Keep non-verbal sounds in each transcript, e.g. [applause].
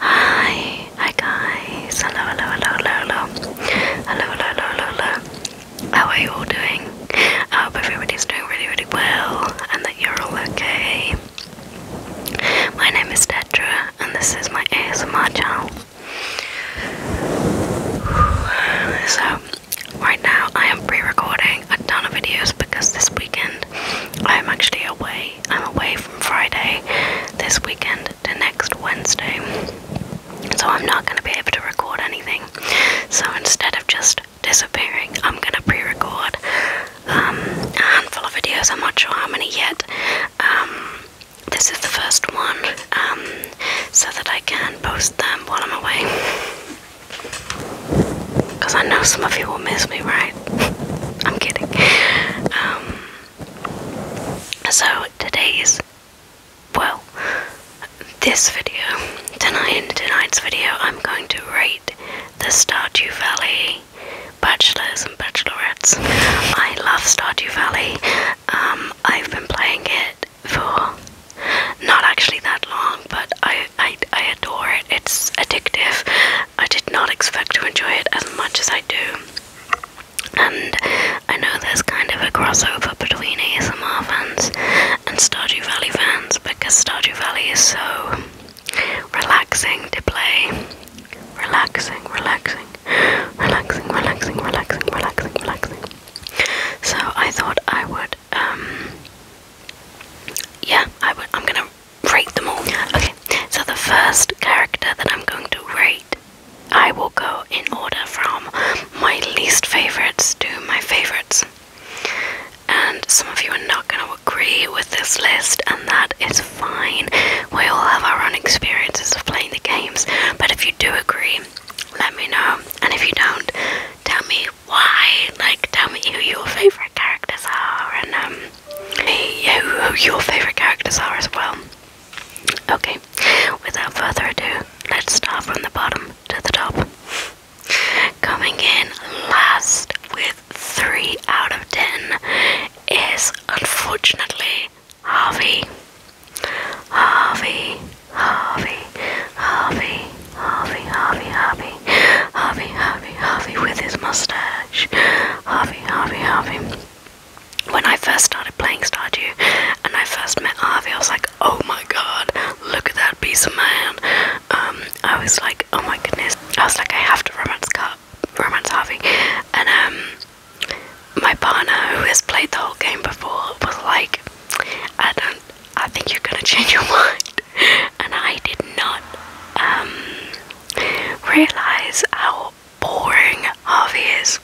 Hi, hi guys. Hello, hello, hello, hello, hello. Hello, hello, hello, How are you all doing? I hope everybody's doing really, really well and that you're all okay. My name is Detra and this is my ASMR channel. So, right now I am pre recording a ton of videos because this weekend I am actually away I'm away from Friday this weekend to next Wednesday. So I'm not going to be able to record anything. So instead of just disappearing, I'm going to pre record um, a handful of videos. I'm not sure how many yet. Um, this is the first one um, so that I can post them while I'm away. Because I know some of you will miss me, right? I'm kidding. Um, so today's, well, this video, tonight, tonight's video, I'm going to rate the Stardew Valley bachelors and bachelorettes. I love Stardew Valley. Um, I've been playing it for not actually that long, but I I, I adore it. It's addictive. I did not expect to enjoy it as much as I do. And I know there's kind of a crossover between ASMR fans and Stardew Valley fans because Stardew Valley is so relaxing to play. Relaxing, relaxing, relaxing, relaxing, relaxing, relaxing, relaxing. So I thought I would, um, yeah, I would, I'm gonna rate them all. Okay, so the first character that I'm going to rate, I will go in order from my least favorites to my favorites. And some of you are not going to agree with this list, and that is fine. We all have our own experiences of playing the games, but if you do agree, let me know. And if you don't, tell me why. Like, tell me who your favorite characters are, and um, yeah, who your favourite characters are as well. Okay, without further ado, let's start from the bottom to the top. Coming in last with 3 out of 10 is unfortunately Harvey. Harvey, Harvey, Harvey, Harvey, Harvey, Harvey, Harvey, Harvey, Harvey, with his mustache. Harvey, Harvey, Harvey. When I first started playing Stardew and I first met Harvey, I was like, oh my god, look at that piece of man. Um, I was like, oh my goodness. I was like, I have to romance, Car romance Harvey. And um, my partner, who has played the whole game before, was like, I don't, I think you're gonna [laughs] change your mind. And I did not. Um, realize how boring Harvey is.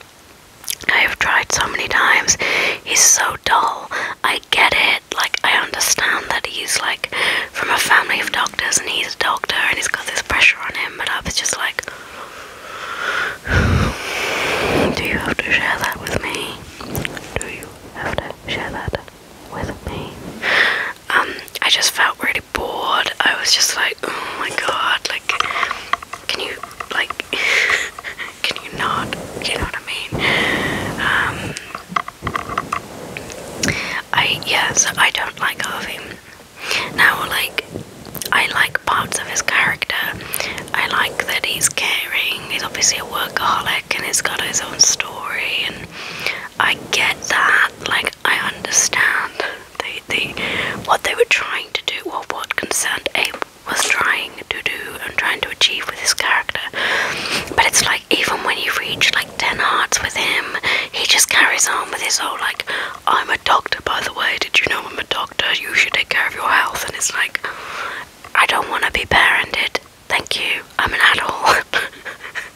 I have tried so many times. He's so dull. I get it. Like, I understand that he's like from a family of doctors and he's a doctor and he's got this pressure on him, but I was just like, do you have to share that with me? Do you have to share that with me? Um, I just felt really bored. I was just like, oh my god, like, can you, like, [laughs] can you not? You know what I mean? Um, I, yeah, I don't like Harvey. Now, like, I like parts of his character. I like that he's caring, he's obviously a workaholic and he's got his own story and I get that. Like I understand they, they, what they were trying to do, or what concerned Abe was trying to do and trying to achieve with his character. But it's like even when you reach like ten hearts with him, he just carries on with his whole like, I'm a doctor by the way, did you know I'm a doctor? You should take care of your health and it's like I don't wanna be parented. Thank you. I'm an adult. [laughs]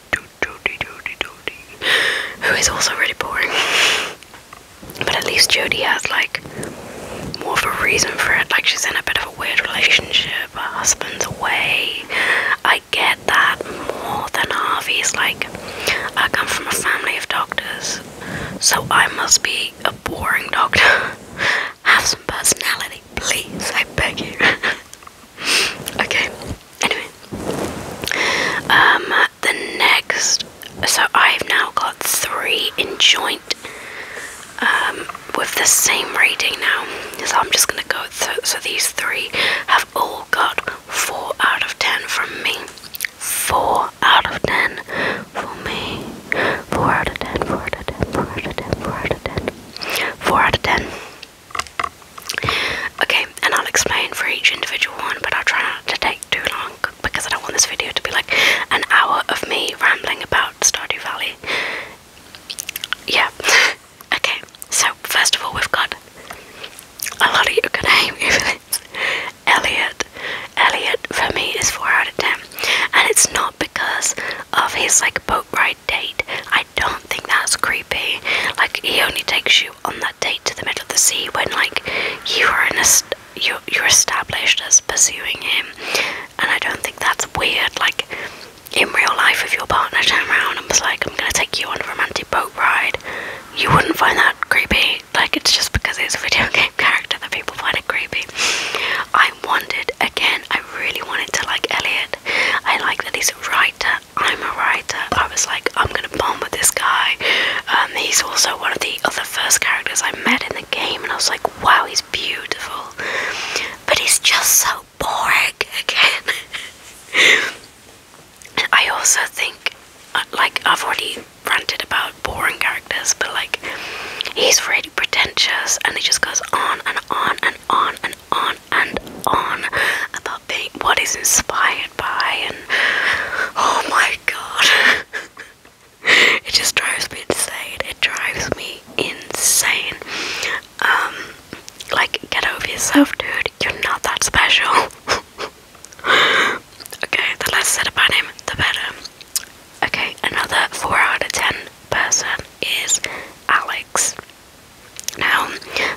who is also really boring. But at least Jodie has like more of a reason for it. Like she's in a bit of a weird relationship. Her husband's away. I get that more than Harvey's. Like I come from a family of doctors, so I must be a boring doctor. [laughs] Have some personality, please. I beg you. [laughs] okay. Anyway, um, the next, so I've now got three in um, with the same rating now. So I'm just gonna go. so these three have all got four out of ten from me. Four out of ten for me. Four out of ten. Four out of ten. Four out of ten. Four out of ten. Four out of ten. Okay, and I'll explain for each individual one, but I'll try not to take too long because I don't want this video to be like an hour of me rambling about Stardew Valley. Yeah. [laughs] okay, so first of all, we've got a lot of you can name even Elliot. Elliot for me is four out of ten, and it's not because of his like boat ride date. I don't do think that's creepy. Like he only takes you on that date to the middle of the sea when like you are in a you're, you're established as pursuing him, and I don't think that's weird. Like in real life, if your partner turned around and was like, "I'm gonna take you on a romantic boat ride," you wouldn't find that creepy. Like it's just because it's a video [laughs] game character that people find it creepy. I wanted again I really wanted to like Elliot. I like that he's a writer. I'm a writer. I was like, I'm gonna bond with this guy. Um, he's also one of the other first characters I met in the game, and I was like, wow, he's beautiful. But he's just so boring again. [laughs] I also think, uh, like, I've already ranted about boring characters, but like, he's really pretentious and he just goes on and on and on and on and on about being what is inspired by and oh my god [laughs] it just drives me insane it drives me insane um like get over yourself dude you're not that special [laughs] okay the less said about him the better okay another 4 out of 10 person is Alex now,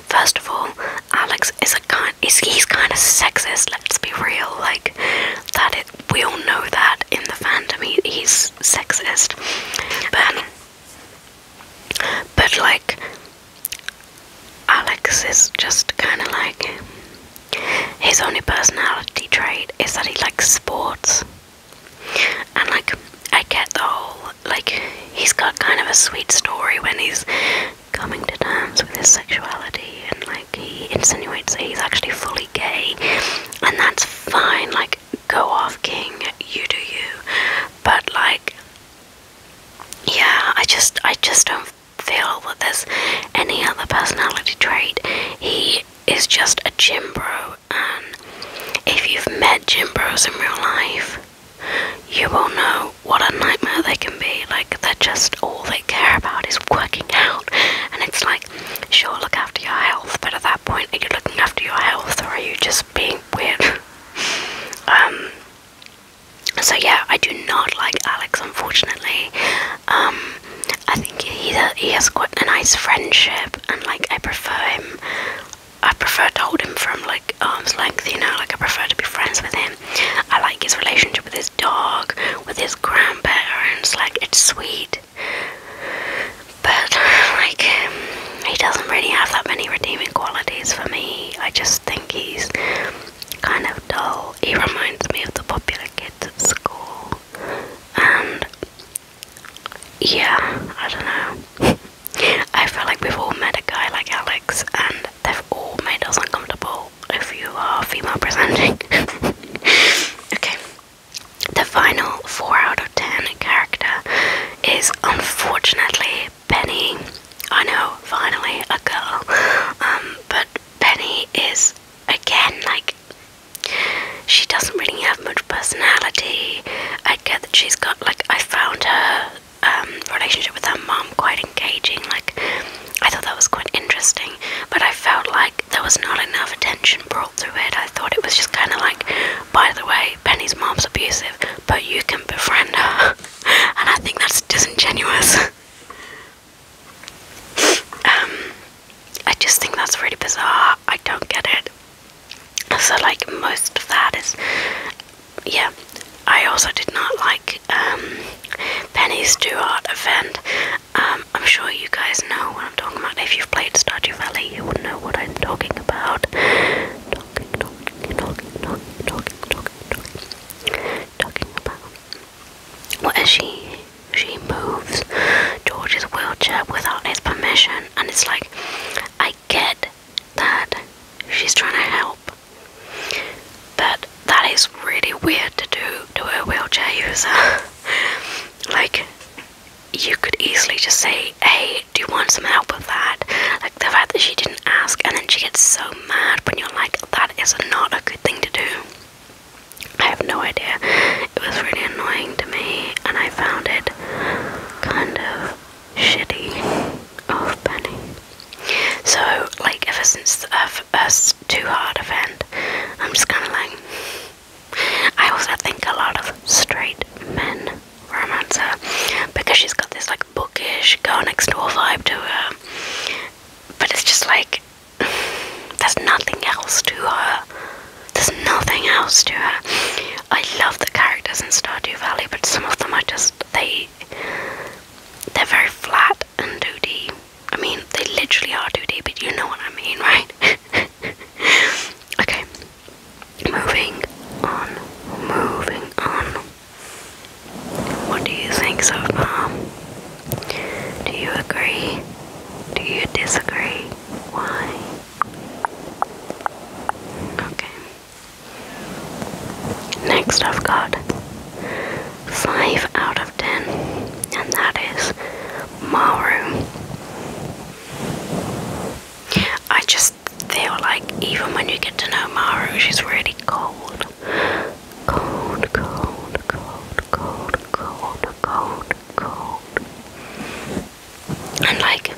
first of all, Alex is a kind he's kind of sexist, let's be real, like that it we all know that in the fandom he's sexist. But but like Alex is just kind of like his only personality trait is that he likes sports and like, I get the whole like he's got kind of a sweet story when he's coming to terms with his sexuality, and like he insinuates that he's actually fully gay, and that's fine. Like, go off, King. You do you. But like, yeah, I just, I just don't feel that there's any other personality trait. He is just a gym bro and um, if you've met gym bros in real life, you will know what a nightmare they can be. Like, they're just all they care about is working out, and it's like, sure, look after your health, but at that point, are you looking after your health or are you just being weird? [laughs] um, so yeah, I do not like Alex, unfortunately. Um, I think he he has got a nice friendship, and like I prefer him I prefer to hold him from like arm's length, you know, like I prefer to be friends with him. I like his relationship with his dog, with his grandparents, like it's sweet. But [sighs] like he doesn't really have that many redeeming qualities for me. I just think he's kind of dull. He reminds me of the popular kids at school. And yeah, I don't know. [laughs] I feel like we've all met a guy like Alex, and they've all made us uncomfortable if you are female presenting. [laughs] okay, the final 4 out of 10 character is unfortunately Penny. I know, finally, a girl. Um, but Penny is, again, like, she doesn't really have much personality. I get that she's got like I found her um, relationship with her mom quite engaging. Like I thought that was quite interesting, but I felt like there was not enough attention brought through it. I thought it was just kind of like, by the way, Penny's mom's abusive, but you can befriend her, [laughs] and I think that's disingenuous. [laughs] um, I just think that's really bizarre. I don't get it. So like most of that is yeah. I also did not like um Penny's Do Art event. Um, I'm sure you guys know what I'm talking about. If you've played Stardew Valley you will know what I'm talking about. Talking, talking, talking, talking, talking, talking, talking, talking about well, she she moves George's wheelchair without his permission, and it's like I get that she's trying to help but that is really weird to do to a wheelchair user [laughs] like you could easily just say hey do you want some help with that like the fact that she didn't ask and then she gets so mad when you're like that is not a good thing to do I have no idea. It was really annoying to me, and I found it get kind of shitty off Benny. So, like, ever since the us Too Hard event, I'm just kind of like. I also think a lot of straight men romance her because she's got this, like, bookish, go next door vibe to her. But it's just like. [sighs] There's nothing else to her there's nothing else to her. I love the characters in Stardew Valley, but some of them are just they they're very flat and 2D. I mean, they literally are 2D, but you know what I mean, right? [laughs] okay. Moving on. Moving on. What do you think so far? Do you agree? Do you disagree? Why? Okay. Next, I've got 5 out of 10, and that is Maru. I just feel like even when you get to know Maru, she's really cold. Cold, cold, cold, cold, cold, cold, cold and like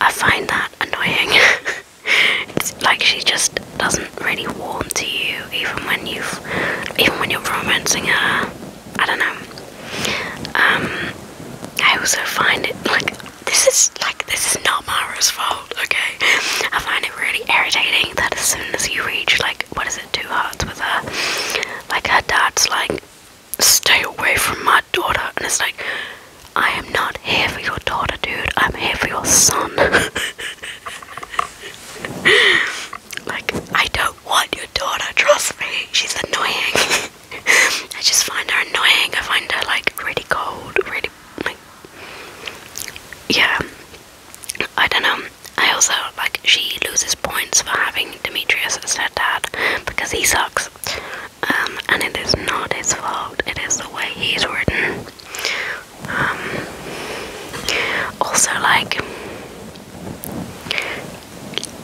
I find that annoying. [laughs] it's like she just doesn't really warm to you, even when you've, even when you're romancing her. I don't know. Um, I also find it like this is like this is not Mara's fault. Okay, I find it really irritating that as soon as you reach like what is it two hearts with her, like her dad's like stay away from my daughter. And it's like, I am not here for your daughter, dude. I'm here for your son. [laughs] like, I don't want your daughter, trust me. She's annoying. [laughs] I just find her annoying. I find her, like, really cold, really, like, yeah. I don't know. I also, like, she loses points for having Demetrius is their dad because he sucks. Um, and it is not his fault, it is the way he's written. Um, also, like,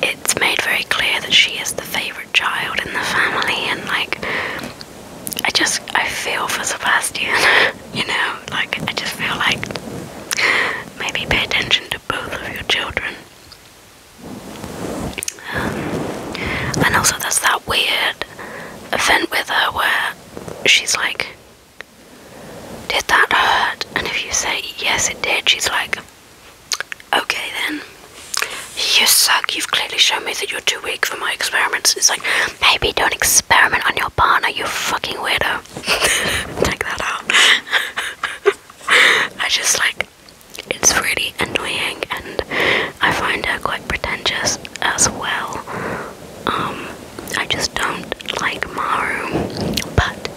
it's made very clear that she is the favourite child in the family, and like, I just I feel for Sebastian, [laughs] you know, like, I just feel like maybe pay attention to both of your children. And also, there's that weird event with her where she's like, Did that hurt? And if you say, Yes, it did, she's like, Okay, then. You suck. You've clearly shown me that you're too weak for my experiments. It's like, maybe don't experiment on your partner, you fucking weirdo. [laughs] Take that out. [laughs] [laughs] I just like it's really annoying, and I find her quite pretentious as well. Um, I just don't like Maru, but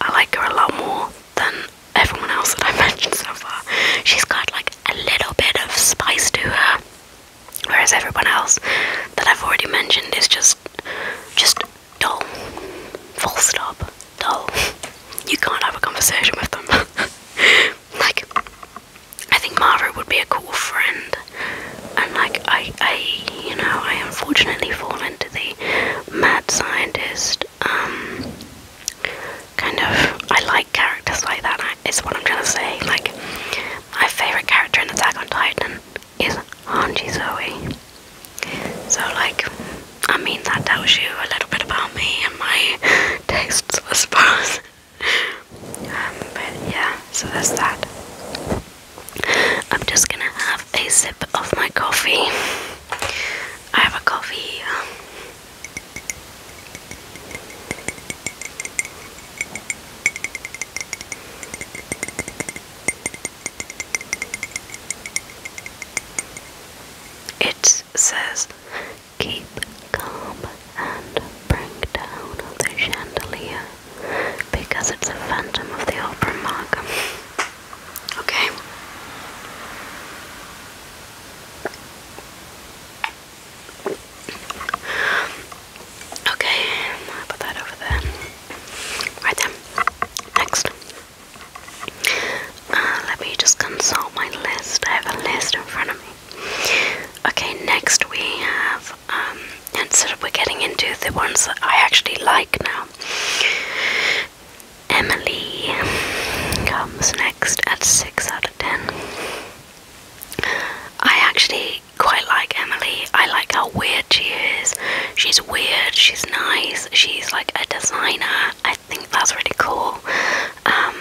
I like her a lot more than everyone else that I've [laughs] mentioned so far. She's got like a little bit of spice to her, whereas everyone else that I've already mentioned is just, just dull. Full stop. Dull. You can't have a conversation with them. [laughs] like, I think Mara would be a cool friend. And like, I, I, you know, I unfortunately fall into the mad scientist. Um, kind of, I like characters like that. Is what I'm trying to say. Like, my favorite character in Attack on Titan is Angie Zoe. So, like, I mean, that tells you a little bit about me and my [laughs] tastes, I suppose. Um, but yeah, so that's that. I'm just gonna have a sip of my coffee. I have a coffee um, it says, Keep calm and break down the chandelier because it's a phantom of the opera mark. Okay. Okay, put that over there. Right then. Next. Uh, let me just consult my list. I have a list in front of me. Okay, next we have, um, instead of we're getting into the ones that I actually like now. Emily comes next at 6 out of 10. I actually quite like Emily. I like how weird she is. She's weird, she's nice, she's like a designer. I think that's really cool. Um,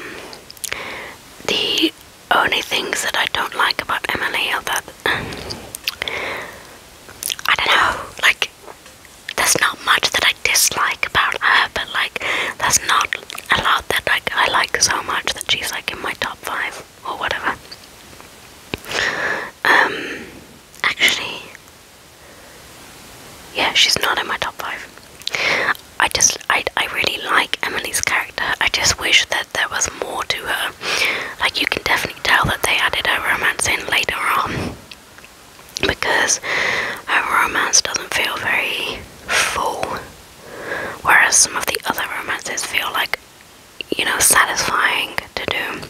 the only things that I don't like about Emily are that I don't know, like there's not much that I dislike about her, but like that's not a lot that like I like so much that she's like in my top five or whatever. Um, actually, yeah, she's not in my top five. I just, I, I really like Emily's character. I just wish that there was more to her. Like, you can definitely tell that they added a romance in later on because her romance doesn't feel very full, whereas some of the other romances feel like, you know, satisfying to do.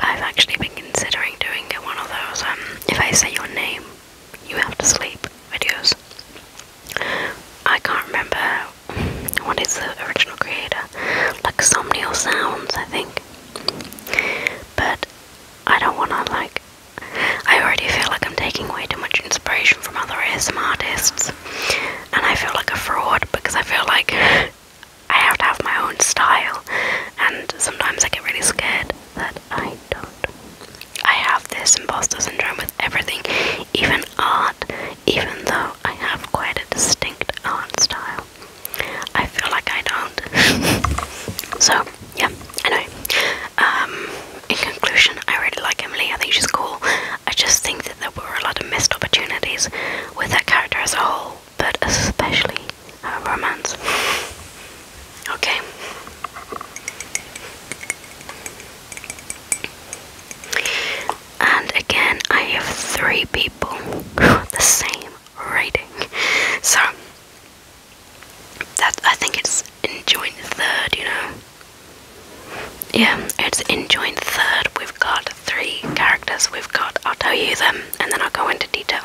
I've actually been considering doing one of those, um, if I say your name, you have to sleep videos. I can't remember what is the original creator, like Somnial Sounds, I think. But I don't want to, like, I already feel like I'm taking way too much inspiration from other ASM artists, and I feel like a fraud because I feel like [laughs] I have to have my own style, and sometimes I get really scared that I don't. I have this imposter syndrome with everything, even art, even though I have quite a distinct art style. I feel like I don't. [laughs] so, yeah, anyway. Um, in conclusion, I really like Emily. I think she's cool. I just think that there were a lot of missed opportunities with that character as a whole but especially a romance. Okay. And again, I have three people with the same rating. So that I think it's in joint third, you know. Yeah, it's in joint third. We've got three characters. We've got I'll tell you them and then I'll go into detail.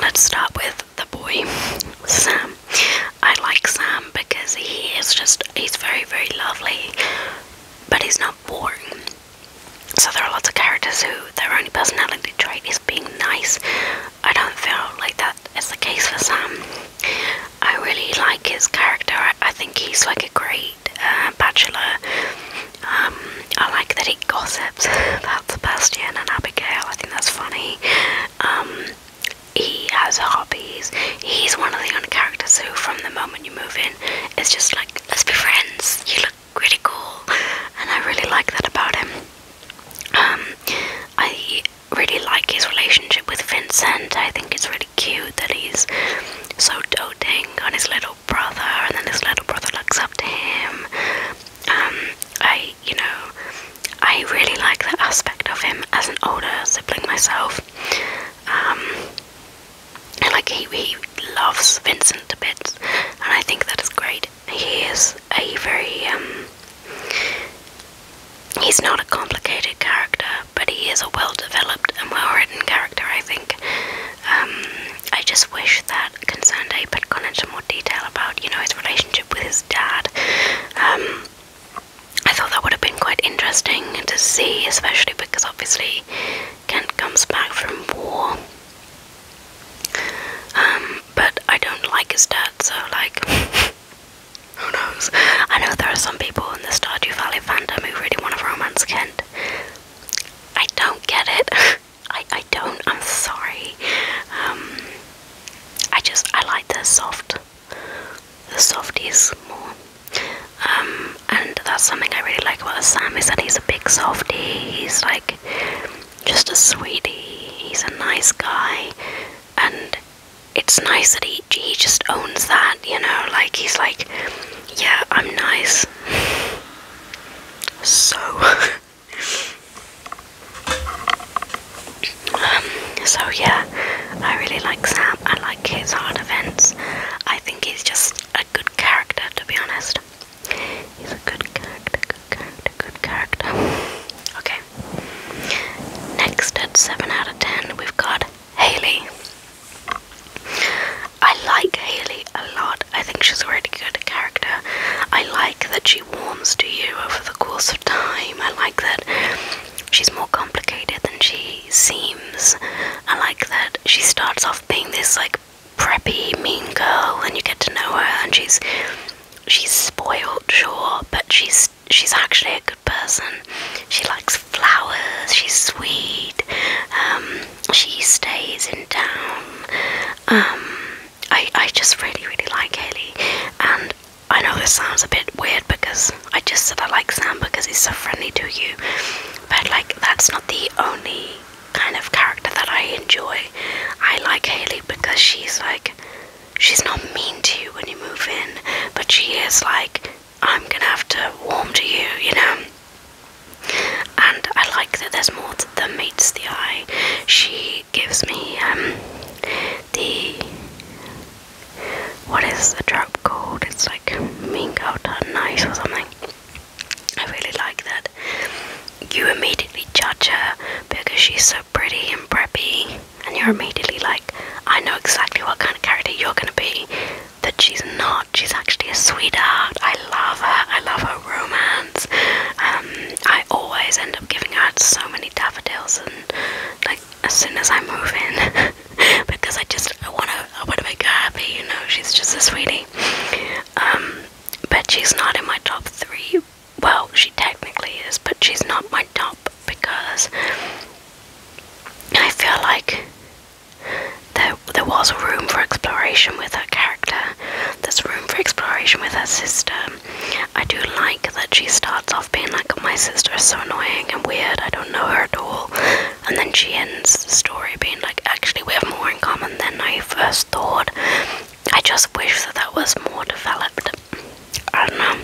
let's start with the boy, Sam. I like Sam because he is just, he's very, very lovely, but he's not boring. So there are lots of characters who their only personality trait is being nice. I don't feel like that is the case for Sam. I really like his character. I, think he's like a great uh, bachelor. Um, I like that he gossips about Sebastian and Abigail. I think that's funny. Um, he has hobbies. He's one of the only characters who, from the moment you move in, is just like, let's be friends. You look really cool, and I really like that about him. Um, I really like his relationship with Vincent. I think it's really cute that he's so doting on his little brother, and then his little brother looks up to him. Um, I, you know, I really like the aspect of him as an older sibling myself. and um, like he, he loves Vincent a bit, and I think that is great. He is a very um, he's not a complicated character, but he is a well-developed and well-written character. I think um, I just wish that Concerned Abe had gone into more detail about, you know, his relationship with his dad. Um, I thought that would have been quite interesting to see, especially because obviously Kent comes back from war. Um, but I don't like his dad, so like, [laughs] who knows? I know there are some people in the Stardew Valley fandom who really want a romance Kent. I don't get it. [laughs] I, I don't, I'm sorry. Um, I just, I like the soft, the is more. Um, and that's something I really like about Sam is that he's a big softie, he's like just a sweetie, he's a nice guy, and it's nice that he, he just owns that, you know, like he's like, yeah, I'm nice. [laughs] So. [laughs] Um, so yeah, I really like Sam. I like his hard events. I think he's just a good character, to be honest. He's a good character, good character, good character. Okay. Next at 7 out of 10, we've got Haley. I like Haley a lot. I think she's a really good character. I like that she warms to you over the course of time. I like that she's more complicated than she seems. I like that she starts off being this like preppy mean girl and you get to know her and she's she's spoiled sure but she's she's actually a good person she likes flowers she's sweet um, she stays in town. Um, I I just really really like Haley, and I know this sounds a bit weird because I just said I like Sam because he's so friendly to you, but like that's not the only kind of character that I enjoy. I like Haley because she's like she's not mean to you when you move in, but she is like I'm gonna have to warm to you, you know. And I like that there's more than meets the eye. She gives me um, the what is the drug called? It's like Mean Girl Done Nice or something. I really like that. You immediately judge her because she's so pretty and preppy, and you're immediately like, I know exactly what kind of character you're gonna be. That she's not. She's actually a sweetheart. I love her. I love her romance. Um, I always end up giving out so many daffodils, and like as soon as I move in, [laughs] because I just I want to I want to make her happy. You know, she's just a sweetie. Um, but she's not in my top three. Well, she technically is, but she's not my top because I feel like there, there was room for exploration with her character. There's room for exploration with her sister. I do like that she starts off being like, my sister is so annoying and weird, I don't know her at all. And then she ends the story being like, actually, we have more in common than I first thought. I just wish that that was more developed. I don't know.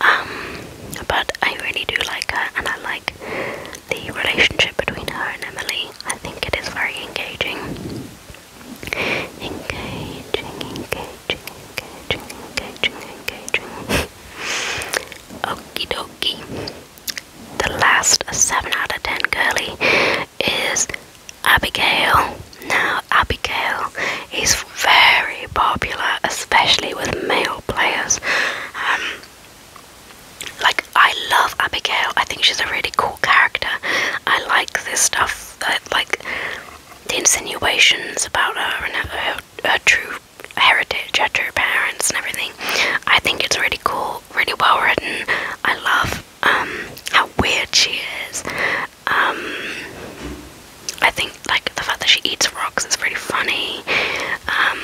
Um, but I really do like her, and I like the relationship between her and Emily. I think it is very engaging. Engaging, engaging, engaging, engaging, engaging. Okie dokie. The last 7 out of 10 girly is Abigail. Now, Abigail is very popular, especially with male players. Um, like, I love Abigail. I think she's a really cool character. I like this stuff, like the insinuations about her and her, true heritage, her true parents, and everything. I think it's really cool, really well written. I love um, how weird she is. Um, I think like the fact that she eats rocks is really funny. Um,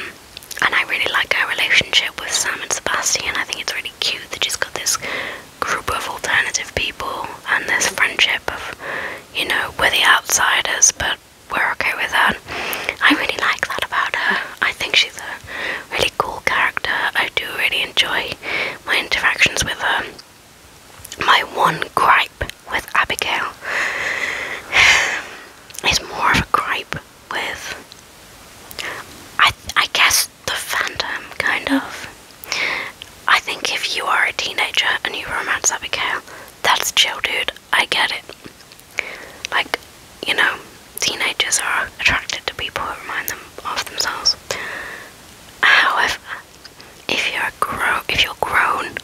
and I really like her relationship with Sam and Sebastian. I think it's really cute do. They just got this group of alternative people and this friendship of, you know, we're the outsiders, but we're okay with that. I really like that about her. I think she's a really cool character. I do really enjoy my interactions with her. My one gripe with Abigail [sighs] is more of a gripe with I I guess the fandom kind of. I think if you are a teenager and you romance Abigail, that's chill dude, I get it. Like, you know, teenagers are attracted to people who remind them of themselves. However, if you're a grown if you're grown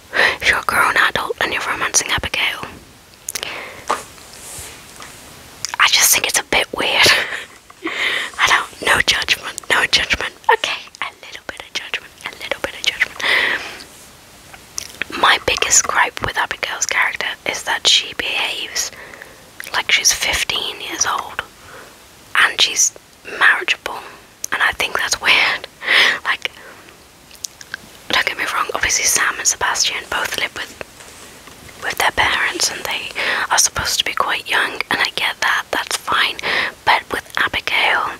if you're a grown adult and you're romancing Abigail, I just think it's a bit weird. [laughs] I don't, no judgment, no judgment. Okay, a little bit of judgment, a little bit of judgment. My biggest gripe with Abigail's character is that she behaves like she's 15 years old and she's marriageable, and I think that's weird. [laughs] Like, don't get me wrong, obviously, Sam and Sebastian both live with with their parents and they are supposed to be quite young and I get that, that's fine. But with Abigail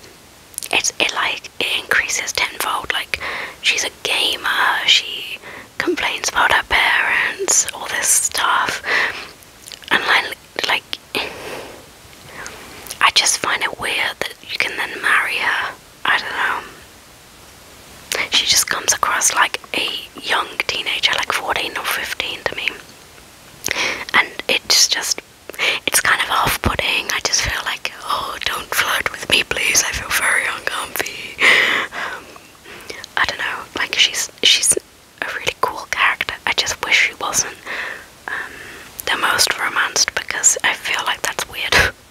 it's it like it increases tenfold. Like she's a gamer, she complains about her parents, all this stuff. And like I just find it weird that you can then marry her. I don't know. She just comes across like a young teenager, like 14 or 15 to me. And it's just, it's kind of off putting. I just feel like, oh, don't flirt with me, please. I feel very uncomfy. Um, I don't know, like she's, she's a really cool character. I just wish she wasn't um, the most romanced because I feel like that's weird. [laughs]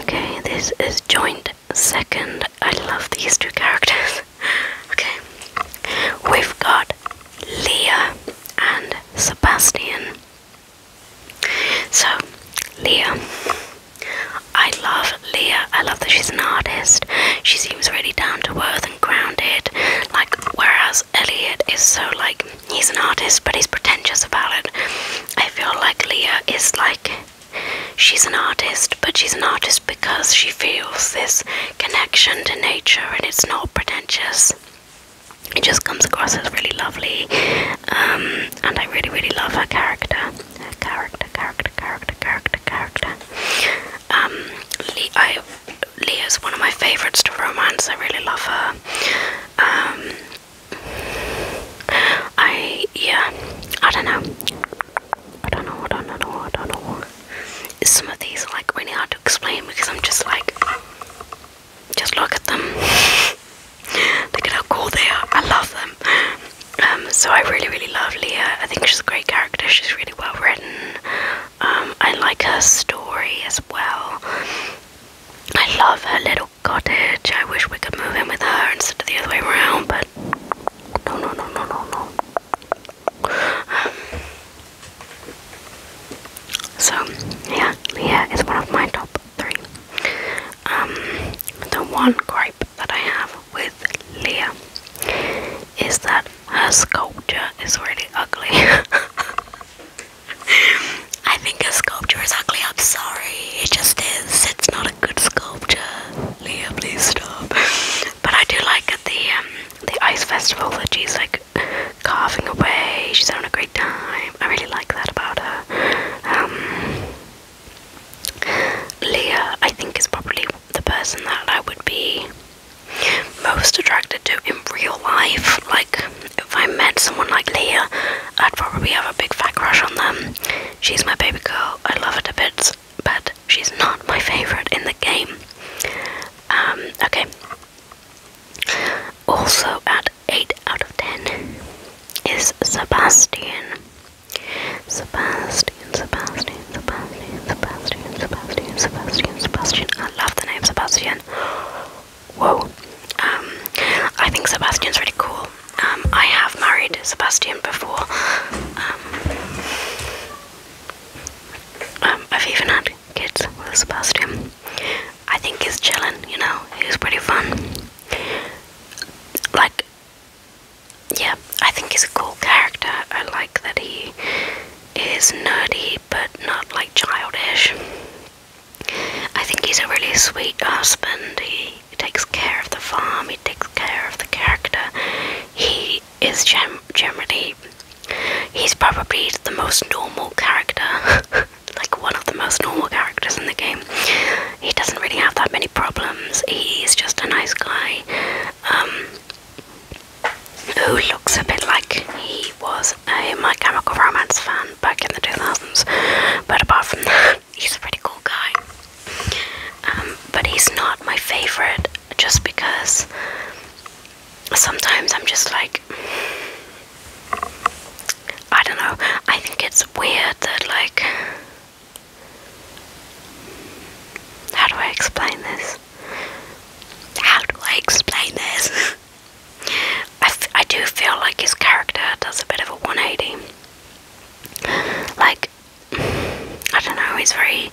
Okay, this is joint second. I love these two characters. [laughs] okay, we've got Leah and Sebastian. So, Leah. I love Leah. I love that she's an artist. She seems really down to earth and grounded. Like, whereas Elliot is so, like, he's an artist, but he's pretentious about it. I feel like Leah is like she's an artist, but she's an artist because she feels this connection to nature and it's not pretentious. It just comes across as really lovely, um, and I really, really love her character. Her character, character, character, character, character. Um, Le one of my favourites to romance. I really love her. Um, I yeah, I don't know. I don't know. I don't know. I don't know. Some of these are like really hard to explain because I'm just like, just look at them. look at how cool they are. I love them. Um, so I really, really love Leah. I think she's a great character. She's really well written. Um, I like her story as well. I love her little cottage. I wish we could move in with her instead of the other way around, but no, no, no, no, no, no. Um, so, yeah, Leah is one of my top three. Um, the one gripe that I have with Leah is that her sculpture is really ugly. [laughs] I think his sculpture is ugly. I'm sorry. It just is. It's not a good sculpture. Leah, please stop. But I do like at the um, the ice festival that she's like carving away. She's having a great time. I really like that about her. Um, Leah, I think, is probably the person that I would be most attracted to in real life. Like if I met someone like Leah, I'd probably have a big fat crush on them. She's my baby girl, I love her to bits, but she's not my favourite in the game. Um, okay. Also at 8 out of 10 is Sebastian. Sebastian, Sebastian, Sebastian, Sebastian, Sebastian, Sebastian, Sebastian. I love the name Sebastian whoa. Um, I think Sebastian's really cool. Um, I have married Sebastian before. Um, um, I've even had kids with Sebastian. I think he's chilling, you know, he's pretty fun. Like, yeah, I think he's a cool character. I like that he is nerdy but not like childish. I think he's a really sweet husband. He, takes care of the farm, he takes care of the character. He is gem generally, he's probably the most normal character, [laughs] like one of the most normal characters in the game. He doesn't really have that many problems, he's just a nice guy um, who looks a bit like he was a My Chemical Romance fan back in the 2000s, but apart from that, he's a pretty cool guy. Um, but he's not my favorite just because sometimes I'm just like, I don't know, I think it's weird that, like, how do I explain this? How do I explain this? [laughs] I do feel like his character does a bit of a 180. Like, I don't know, he's very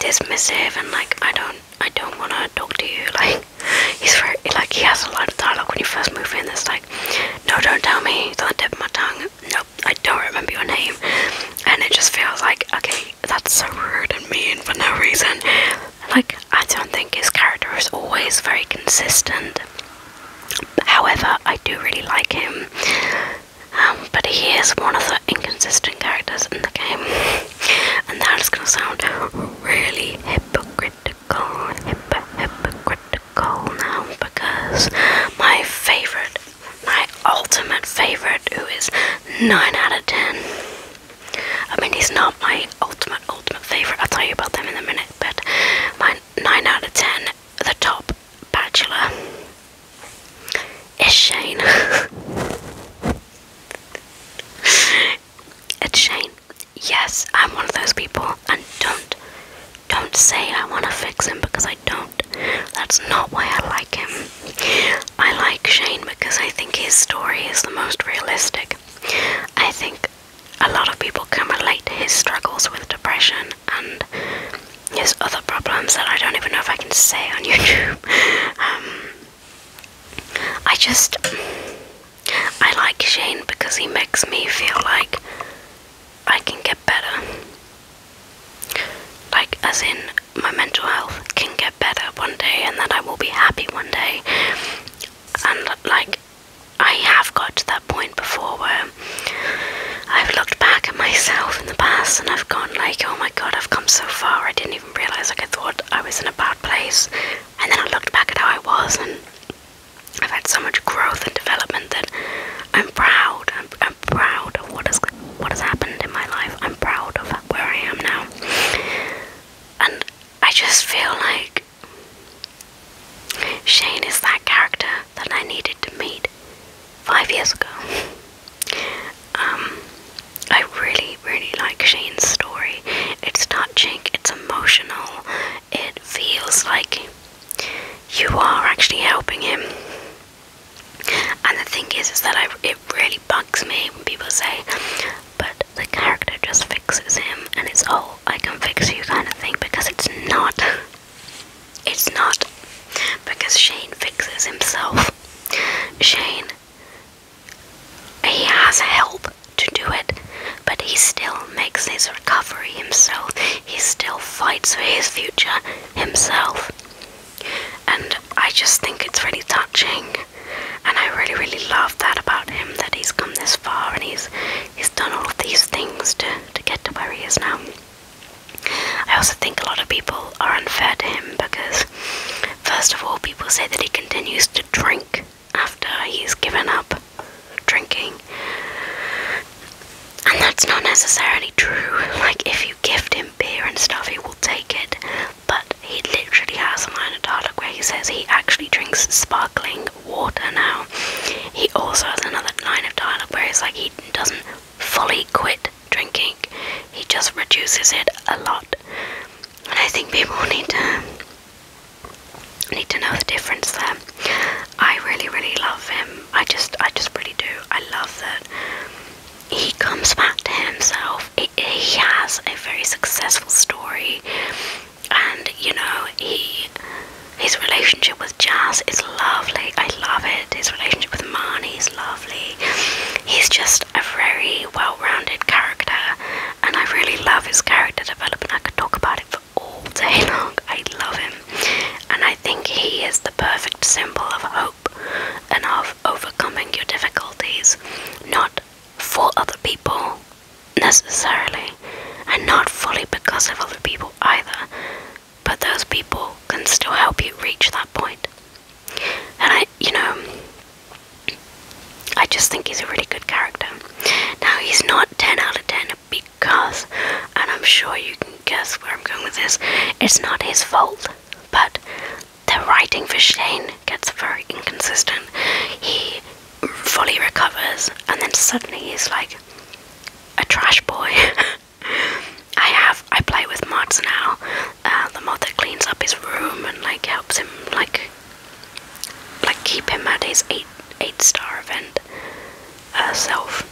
dismissive and like, I don't, I don't want to talk to you. [laughs] Like, he's very, like, he has a lot of dialogue when you first move in. It's like, no, don't tell me. It's on the tip of my tongue. Nope, I don't remember your name. And it just feels like, okay, that's so rude and mean for no reason. Like, I don't think his character is always very consistent. However, I do really like him. Um, but he is one of the inconsistent characters in the game. And that is going to sound really hypocritical, hypocritical now because my favorite, my ultimate favorite, who is 9 out of 10. I mean, he's not my ultimate ultimate favourite. I'll tell you about them in a minute. But my 9 out of 10, the top bachelor, is Shane. [laughs] it's Shane. Yes, I'm one of those people. And don't, don't say I want to fix him because I don't. That's not why I like him. I like Shane because I think his story is the most realistic. I think a lot of people can relate to his struggles with depression and his other problems that I don't even know if I can say on [laughs] YouTube. Um, I just. I like Shane because he makes me feel like I can get better. Like, as in, my mental health can get better one day and then I will be happy one day. And, like, I have got to that point before where I've looked back at myself in the past and I've gone like, oh my god, I've come so far. I didn't even realize. Like I thought I was in a bad place, and then I looked back at how I was, and I've had so much growth and development that I'm proud. I'm, proud of what has what has happened in my life. I'm proud of where I am now, and I just feel like Shane is that character that I needed to meet five years ago. Um, I really, really like Shane's story. It's touching, it's emotional, it feels like you are actually helping him. And the thing is, is that it really bugs me when people say, but the character just fixes him and it's oh I can fix you kind of thing because it's not it's not because Shane fixes himself. Shane he has help to do it, but he still makes his recovery himself. He still fights for his future himself. And I just think it's really touching and I really really love that about him that he's come this far and he's he's done all of these things to to get to where he is now. I also think a lot of people are unfair to him because first of all people say that he continues to drink after he's given up drinking. And that's not necessarily true. Like if you gift him beer and stuff he will take it. But he literally has a line of dialogue where he says he actually drinks sparkling water now. He also has another line of dialogue where he's like he doesn't fully quit drinking, he just reduces it a lot. And I think people need to need to know the difference there. I really, really love him. I just I just really do. I love that he comes back to himself. he has a very successful story and you know he his relationship with Jazz is lovely. I love it. His relationship with Marnie is lovely. He's just a very well-rounded character, and I really love his character development. I could talk about it for all day [laughs] long. I love him, and I think he is the perfect symbol of hope and of overcoming your difficulties, not for other people, necessarily, and not fully because of other people either, but those people can still help you reach that point. And I, you know, I just think he's a really good character. Now, he's not 10 out of 10 because, and I'm sure you can guess where I'm going with this, it's not his fault, but the writing for Shane gets very inconsistent. He fully recovers, and then suddenly he's like a trash boy. [laughs] I have I play with mods now, uh, the mod that cleans up his room and like helps him like like keep him at his eight eight star event herself.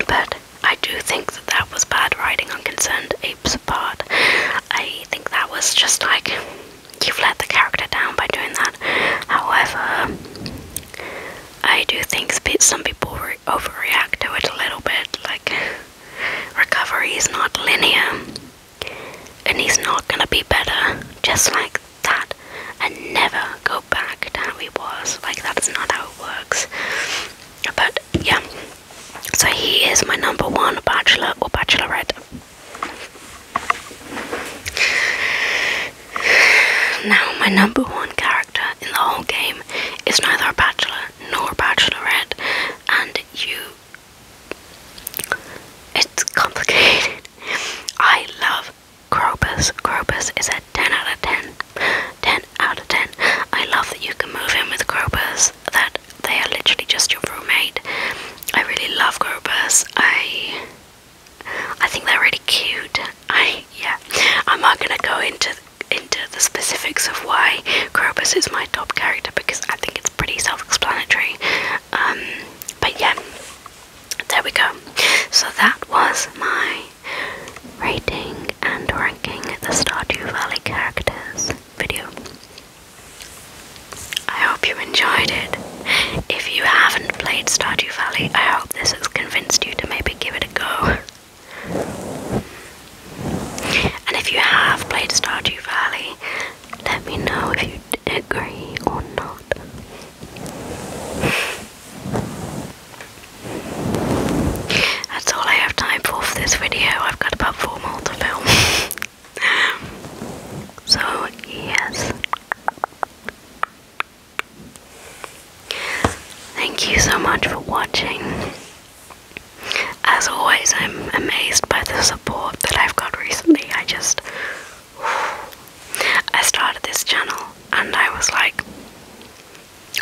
Uh, but I do think that that was bad writing on Concerned Apes' apart. I think that was just like you've let the character down by doing that. However, I do think some people overreact to it a little bit. Like, recovery is not linear, and he's not gonna be better just like that and never go back to how he was. Like, that's not how it works. But yeah, so he is my number one bachelor or bachelorette now, my number one character in the whole game is neither a bachelor nor a bachelorette, and you. It's complicated. [laughs] I love Crobus. Crobus is a 10 out of 10. 10 out of 10. I love that you can move in with Crobus, that they are literally just your roommate. I really love Grobus. I I think they're really cute. I yeah. I'm not gonna go into into the specifics of why Grobus is my top character because I think it's pretty self-explanatory. Um, but yeah, there we go. So that was my rating and ranking the Stardew Valley characters video. I hope you enjoyed it. If you haven't played Stardew Valley, I hope this has convinced you to maybe give it a go. And if you have played Stardew Valley, let me know if you agree or not. That's all I have time for for this video. I've got about four more to film. [laughs] so yes thank you so much for watching as always i'm amazed by the support that i've got recently i just i started this channel and i was like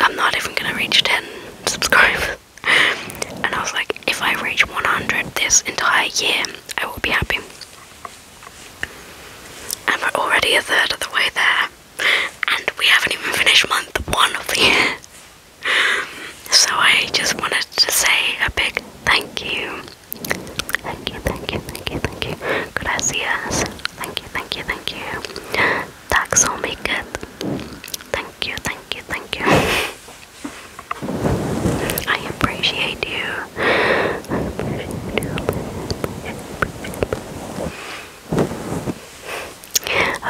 i'm not even gonna reach 10 subscribers [laughs] and i was like if i reach 100 this entire year I will be happy. And we're already a third of the way there, and we haven't even finished month one of the year. So I just wanted to say a big thank you. Thank you, thank you, thank you, thank you. Gracias. Thank you, thank you, thank you. That's all make it. Thank you, thank you, thank you. [laughs] I appreciate you.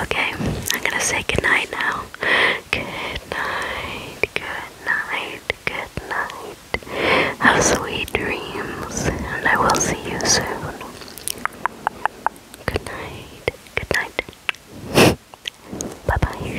Okay, I'm gonna say goodnight now. Good night, good Have sweet dreams, and I will see you soon. Good night, [laughs] bye bye.